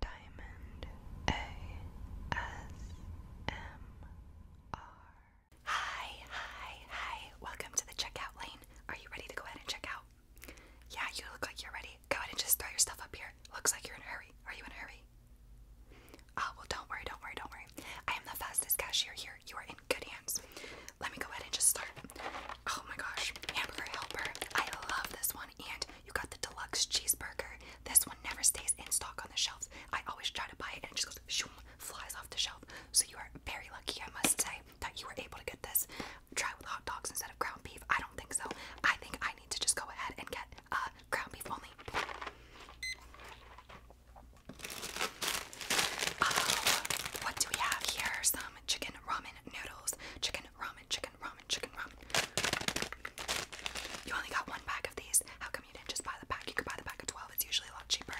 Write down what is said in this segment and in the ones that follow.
Diamond ASMR. Hi, hi, hi. Welcome to the checkout lane. Are you ready to go ahead and check out? Yeah, you look like you're ready. Go ahead and just throw your stuff up here. Looks like you're in a hurry. Are you in a hurry? Oh, well, don't worry, don't worry, don't worry. I am the fastest cashier here. You are in good hands. Let me go ahead and just start. Oh my gosh, hamburger helper. I love this one. And you got the deluxe cheeseburger. This one never stays in stock on the shelves. I always try to buy it and it just goes shoom, flies off the shelf. So you are very lucky, I must say, that you were able to get this. Try with hot dogs instead of ground beef. I don't think so. I think I need to just go ahead and get uh ground beef only. Oh, what do we have here? Some chicken ramen chicken noodles, chicken ramen, chicken ramen, chicken ramen. You only got one pack of these. How come you didn't just buy the pack? You could buy the pack of 12, it's usually a lot cheaper.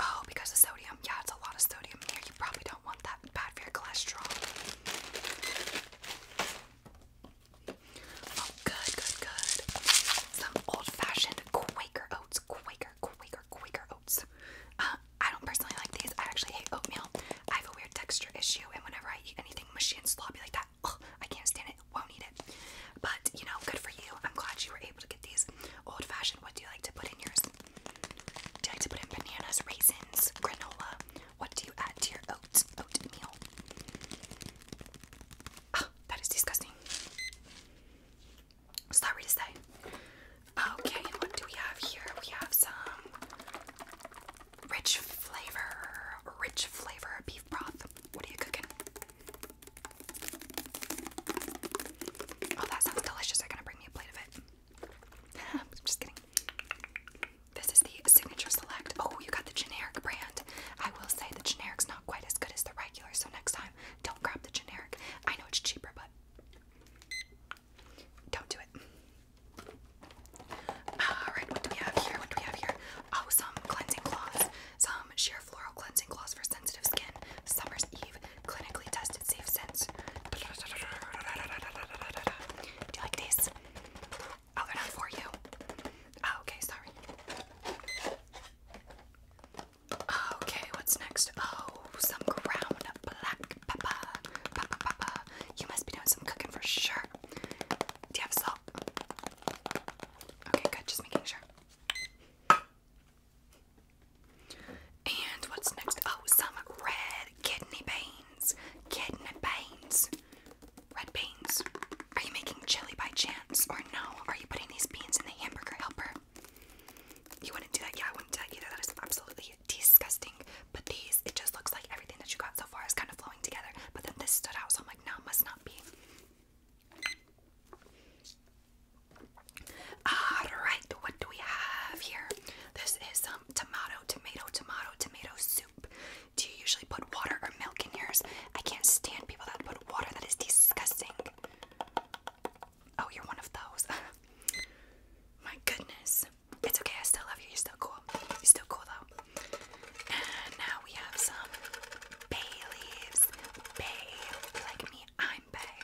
Oh, because of sodium. Yeah, it's a lot of sodium here. You probably don't want that bad for your cholesterol. Oh, good, good, good. Some old fashioned Quaker oats. Quaker, Quaker, Quaker uh, I don't personally like these. I actually hate oatmeal. I have a weird texture issue, and whenever I eat anything mushy and sloppy like that, I can't stand it. Won't eat it. But you know, good for you. I'm glad you were able to get these old fashioned. What do you like to put in yours? Do you like to put in bananas, raisins, granola? What do you add to your oats? Oatmeal. that is disgusting. Sorry to say. Okay, and what do we have here? We have some rich flavor, rich flavor beef broth. What are you cooking? Oh, that sounds delicious. They're gonna bring me a plate of it. I'm just kidding. This is the Signature Select. Oh, you got the generic brand. I will say the generic's not quite as good as the regular, so next time don't grab the generic. I know it's cheaper, but don't do it. Alright, what do we have here? What do we have here? Oh, some cleansing cloths. Some sheer floral cleansing cloths for sensitive skin. Summer's Eve. Clinically tested safe scents. Do you like these? Oh, they're not for you. Oh, okay, sorry. Okay, what's next? Oh, some ground black pepper. Pepper, pepper. You must be doing some cooking for sure. Do you have salt? Okay, good. Just making sure. And what's next? Oh, some red kidney beans. Kidney beans. Red beans. Are you making chili by chance? Or no? Are you putting these beans in the hamburger helper? You wouldn't do that? Yeah, I wouldn't do that either. That is absolutely disgusting. But these, it just looks like everything that you got so far is kind of flowing together. But then this stood out, so I'm like, no, it must not be. Alright, what do we have here? This is some um, tomato, tomato, tomato, tomato soup. Do you usually put water or milk in yours? I can't stand people that put water. That is disgusting. Oh, you're one of those. My goodness. It's okay. I still love you. You're still cool. You're still cool, though. And now we have some bay leaves. Bay. Like me, I'm bay.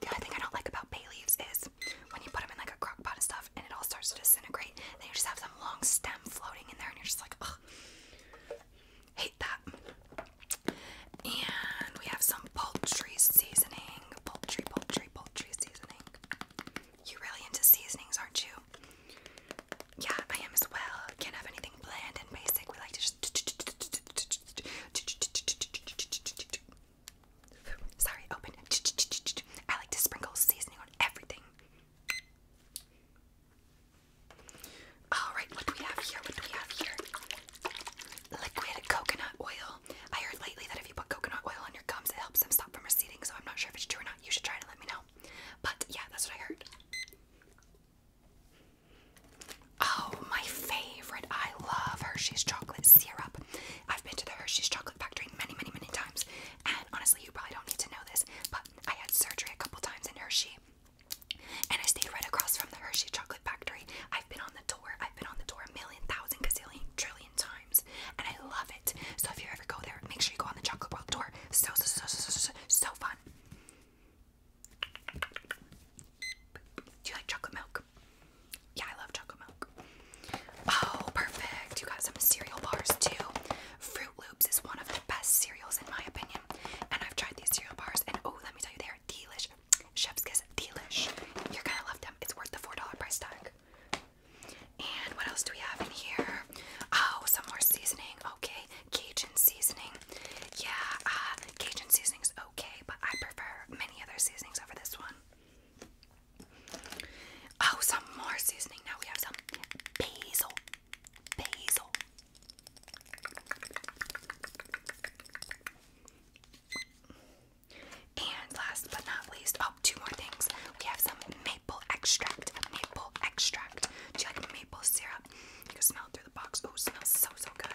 The other thing I don't like about bay leaves is when you put them in like a crock pot and stuff, and it all starts to disintegrate. Then you just have some long stem floating in there and you're just like, ugh, hate that. And we have some poultry seasoning. Poultry, poultry, poultry seasoning. You really into seasonings, aren't you? Yeah, I am as well. Can't have anything bland and basic. We like to just Sorry, open. I like to sprinkle seasoning on everything. Alright, what do we have here? What do we have here? Liquid coconut oil. I heard lately that if you put coconut oil on your gums, it helps them stop from receding, so I'm not sure if it's true or not. You should try it and let me know. But yeah, that's what I heard. Oh, my favorite. I love Hershey's chocolate syrup. I've been to the Hershey's Chocolate Factory many, many, many times, and honestly, you probably don't need to know this, but I had surgery a couple times in Hershey, and I stayed right across from the Hershey Chocolate Factory. I've been on the tour, I've been on the tour a million, thousand, gazillion, trillion times, and I love it. So if you ever go there, make sure you go on the Chocolate World tour. So, so, so, so, so, so, so fun. Do you like chocolate milk? Yeah, I love chocolate milk. Oh, perfect. You got some cereal bars too. Fruit Loops is one of the best cereals in my opinion. And I've tried these cereal bars and oh, let me tell you, they are delish. Chef's kiss, delish. You're gonna love them. It's worth the $4 price tag. And what else do we have in here? Oh, some more seasoning. Okay, Cajun seasoning. Yeah, uh, Cajun seasonings. is okay, but I prefer many other seasonings over this one. Oh, some more seasoning. Now we have some basil. Basil. And last but not least, oh, two more things. We have some maple extract. Maple extract. Do you like maple syrup? You can smell through the box. Oh, smells so, so good.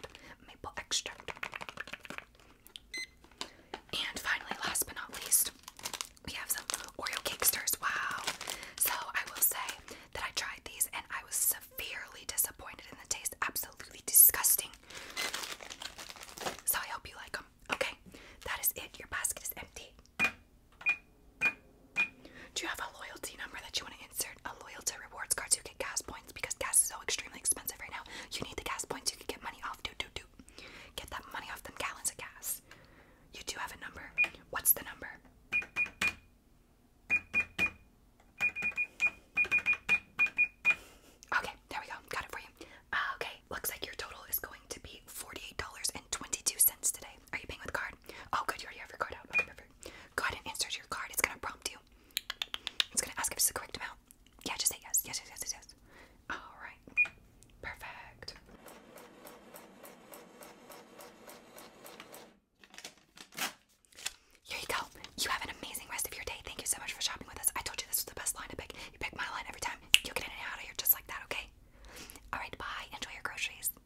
And finally, last but not least, we have some Oreo Cakesters. Wow. So I will say that I tried these and I was severely disappointed in the taste. Absolutely disgusting. So I hope you like them. Okay, that is it. Your basket is empty. Do you have a loyalty number that you want to insert? a loyalty rewards card, you get gas points because gas is so extremely expensive right now. You need the gas points, you can get money off. Do, do, do. Get that money off them gallons of gas. You do have a number. What's the number? Okay, there we go. Got it for you. Uh, okay, looks like your total is going to be $48.22 today. Are you paying with card? Oh, good, you already have your card out card. Go ahead and insert your card. It's gonna prompt you. It's gonna ask if it's the correct amount. Yeah, just say yes. Yes, yes, yes, yes, yes. All right. Perfect. Here you go. You have an amazing rest of your day. Thank you so much for shopping with us. I told you this was the best line to pick. You pick my line every time. You'll get in and out of here just like that, okay? All right, bye. Enjoy your groceries.